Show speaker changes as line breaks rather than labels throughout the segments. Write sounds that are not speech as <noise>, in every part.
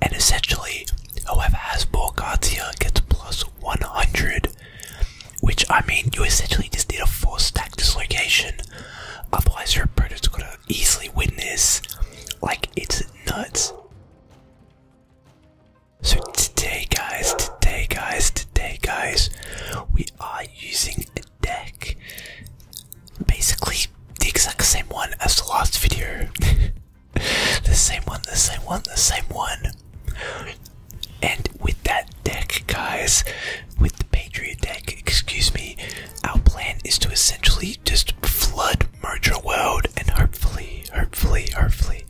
And essentially, whoever has more cards here gets plus 100. Which, I mean, you essentially just did a 4 stack dislocation. Otherwise, your opponent's gonna easily win this. Like, it's nuts. So, today, guys, today, guys, today, guys, we are using a deck basically the exact same one as the last video. <laughs> the same one, the same one, the same one. And with that deck, guys, with the Patriot deck, excuse me, our plan is to essentially just flood merge Merger World and hopefully, hopefully, hopefully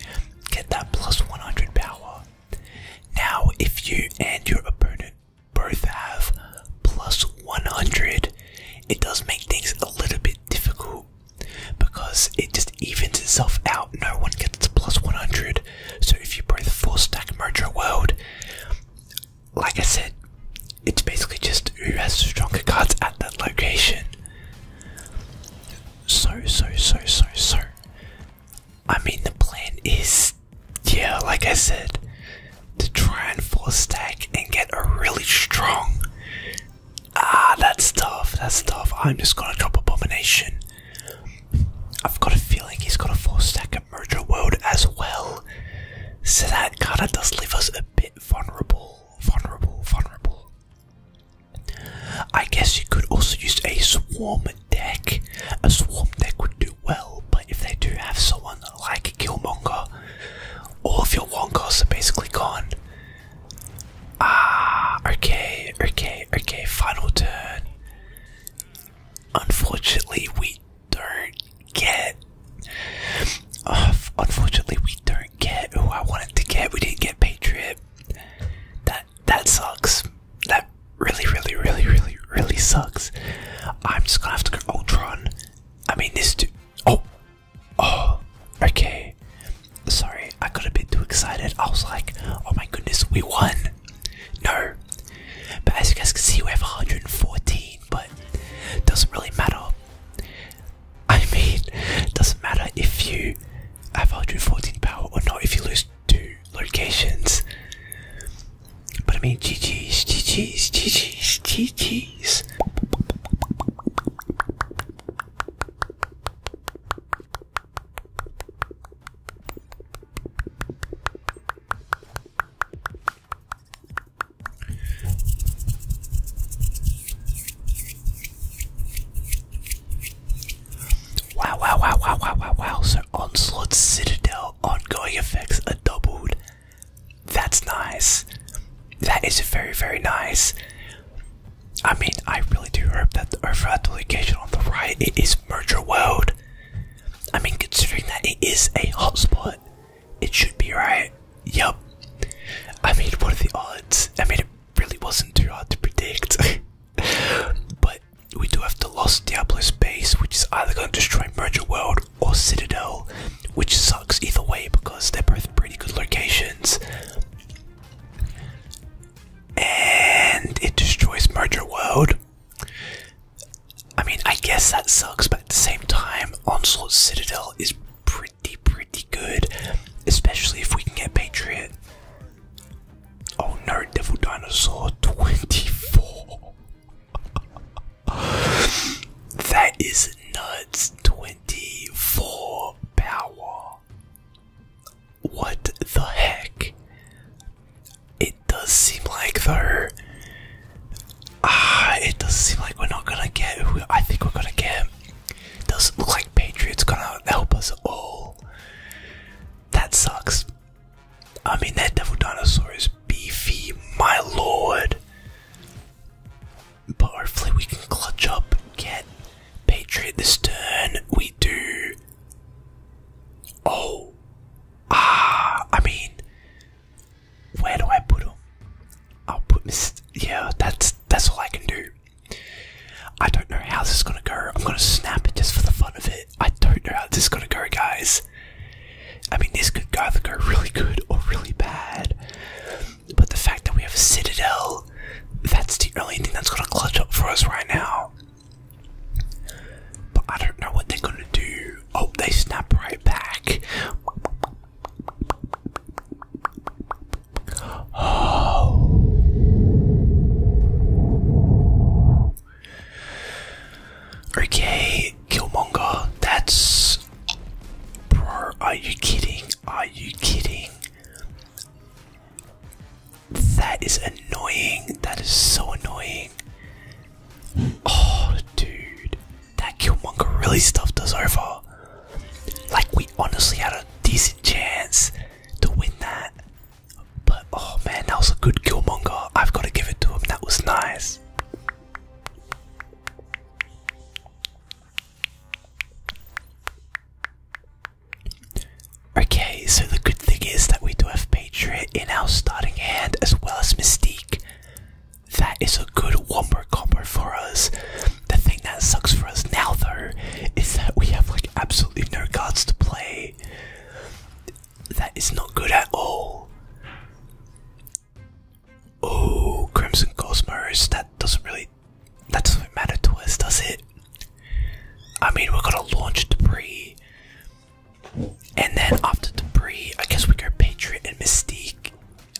get that plus 100 power. Now, if you and your opponent both have plus 100, it does make things a little bit difficult because it just evens itself out. No one gets 100. So if you play the four stack merger World, like I said, it's basically just who has stronger cards at that location. So, so, so, so, so. I mean, the plan is yeah, like I said, to try and full stack and get a really strong. Ah, that's tough. That's tough. I'm just gonna drop abomination. I've got a feeling he's got a full stack at merger World as well. So that kinda does leave us a bit vulnerable. Vulnerable, vulnerable. I guess you could also use a swarm deck. A swarm deck would do well, but if they do have someone like Killmonger, all of your Wonkas are basically gone. Ah, okay, okay, okay, final turn. Unfortunately, we don't get. Oh, unfortunately, we don't get who oh, I wanted to get. We didn't get Patriot. That that sucks. That really, really, really, really, really sucks. I'm just gonna have to go Ultron. I mean, this dude. Oh, oh, okay. Sorry, I got a bit too excited. I was like, oh my goodness, we won. No, but as you guys can see, we have 114, but doesn't really matter. I mean, doesn't matter if you have 114 power or not. If you lose two locations. But I mean, GG's, GG's, GG's, GG's. Wow, wow, wow, wow, wow, wow, wow. So Onslaught Citadel ongoing effects are doubled. That's nice. That is very, very nice. I mean, I really do hope that the overall location on the right it is Merger World. I mean, considering that it is a hotspot, it should be right. Yup. I mean, what are the odds? I mean, it really wasn't too hard to predict. <laughs> but we do have the Lost Diablo's base, which is either going to destroy Merger World or Citadel, which sucks either way because they're both pretty good locations. And it destroys Merger World. I mean, I guess that sucks, but at the same time, Onslaught Citadel is pretty, pretty good, especially if we can get Patriot. Oh no, Devil Dinosaur 24. <laughs> that is nuts. 24 power. What the heck? It does seem like though. Ah, it does seem like we're not gonna get who I think we're gonna get. Doesn't look like Patriots gonna help us all. That sucks. I mean, that devil dinosaur is beefy, my lord. But hopefully, we can clutch up, get Patriot this turn. We do. Oh. Ah, I mean, where do I put him? I'll put Miss. Yeah, that's that's all I can do. I don't know how this is gonna go. I'm gonna snap it just for the fun of it. I don't know how this is gonna go, guys. I mean, this could go either go really good or really bad. But the fact that we have a Citadel, that's the only thing that's gonna clutch up for us right now. But I don't know what they're gonna do. Oh, they snap right back. Okay, oh. Killmonger, that's. Bro, are you kidding? Are you kidding? That is annoying. That is so annoying. Oh, dude. That Killmonger really stuffed us over. Like we honestly had a decent chance to win that. But oh man, that was a good Killmonger. I've got to give it to him. That was nice. Okay, so the good thing is that we do have Patriot in our starting hand as well as Mystique. That is a good wombo combo for us. The thing that sucks for us now, though, is that we have like absolutely no cards to play. That is not good at all. Oh, Crimson Cosmos, that doesn't really that doesn't matter to us, does it? I mean we're gonna launch debris. And then after debris, I guess we go Patriot and Mystique.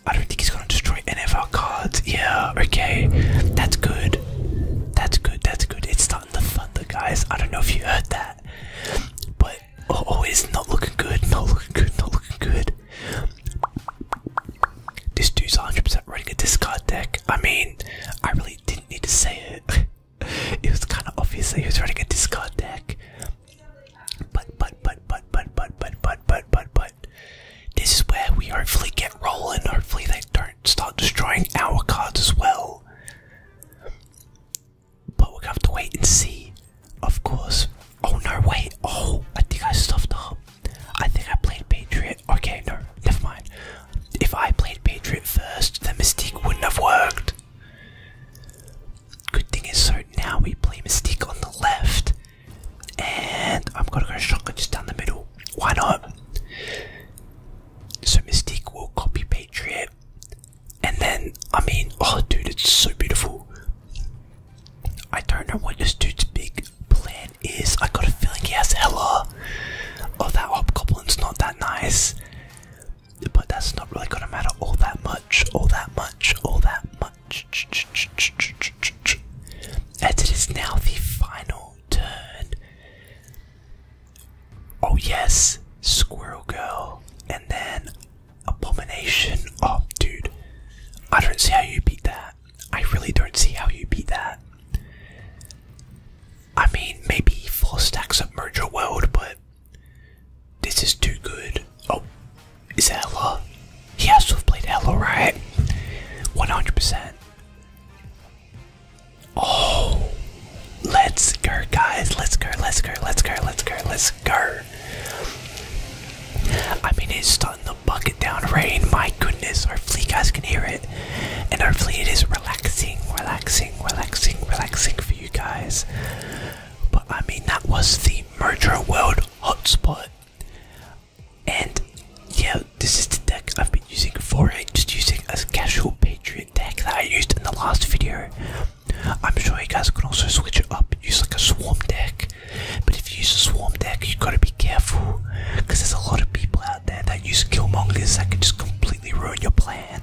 I don't think he's gonna destroy any of our cards. Yeah, okay. That's good. That's good, that's good. It's starting to thunder, guys. I don't know if you heard that. But oh, it's not looking good, not looking good, not looking good. This dude's 100% running a discard deck. I mean, I really didn't need to say it. it was kind of obvious that he was running a discard deck. but, but, but, but, but, but, but, but, but, but, this is where we hopefully get rolling. Hopefully, they don't start destroying our cards as well. But we're gonna have to wait and see, of course. Oh no, wait. Oh, I think I stuffed up. I think I played Patriot. Okay, no, never mind. If I played Patriot first, the Mystique wouldn't have worked. Good thing is, so now we play Mystique on the left, and I'm gonna go shotgun just down the middle. Why not? So Mystique will copy Patriot. And then, I mean, oh dude, it's so beautiful. I don't know what this dude's big plan is. I got a feeling he has hella. Oh, that hobgoblin's not that nice. But that's not really gonna matter all that much, all that much, all that much. As it is now the final turn. Oh, yes, Squirrel Girl, and then Abomination. Oh, dude, I don't see how you beat that. I really don't see how you beat that. I mean, maybe four stacks of Merger World, but this is too good. Oh, is that Ella? He has to have played Ella, right? 100%. Oh, let's go, guys. Let's go, let's go, let's go, let's go, let's go. I mean, it's starting to bucket down rain. My goodness. Hopefully, you guys can hear it. And hopefully, it is relaxing, relaxing, relaxing, relaxing for you guys. But I mean, that was the Murder World hotspot. And yeah, this is the deck I've been using for it, just using a casual Patriot deck that I used in the last video. I'm sure you guys can also switch it up use like a swarm deck. But if you use a swarm deck, you have gotta be careful because there's a lot of people out there that use killmongers that can just completely ruin your plan.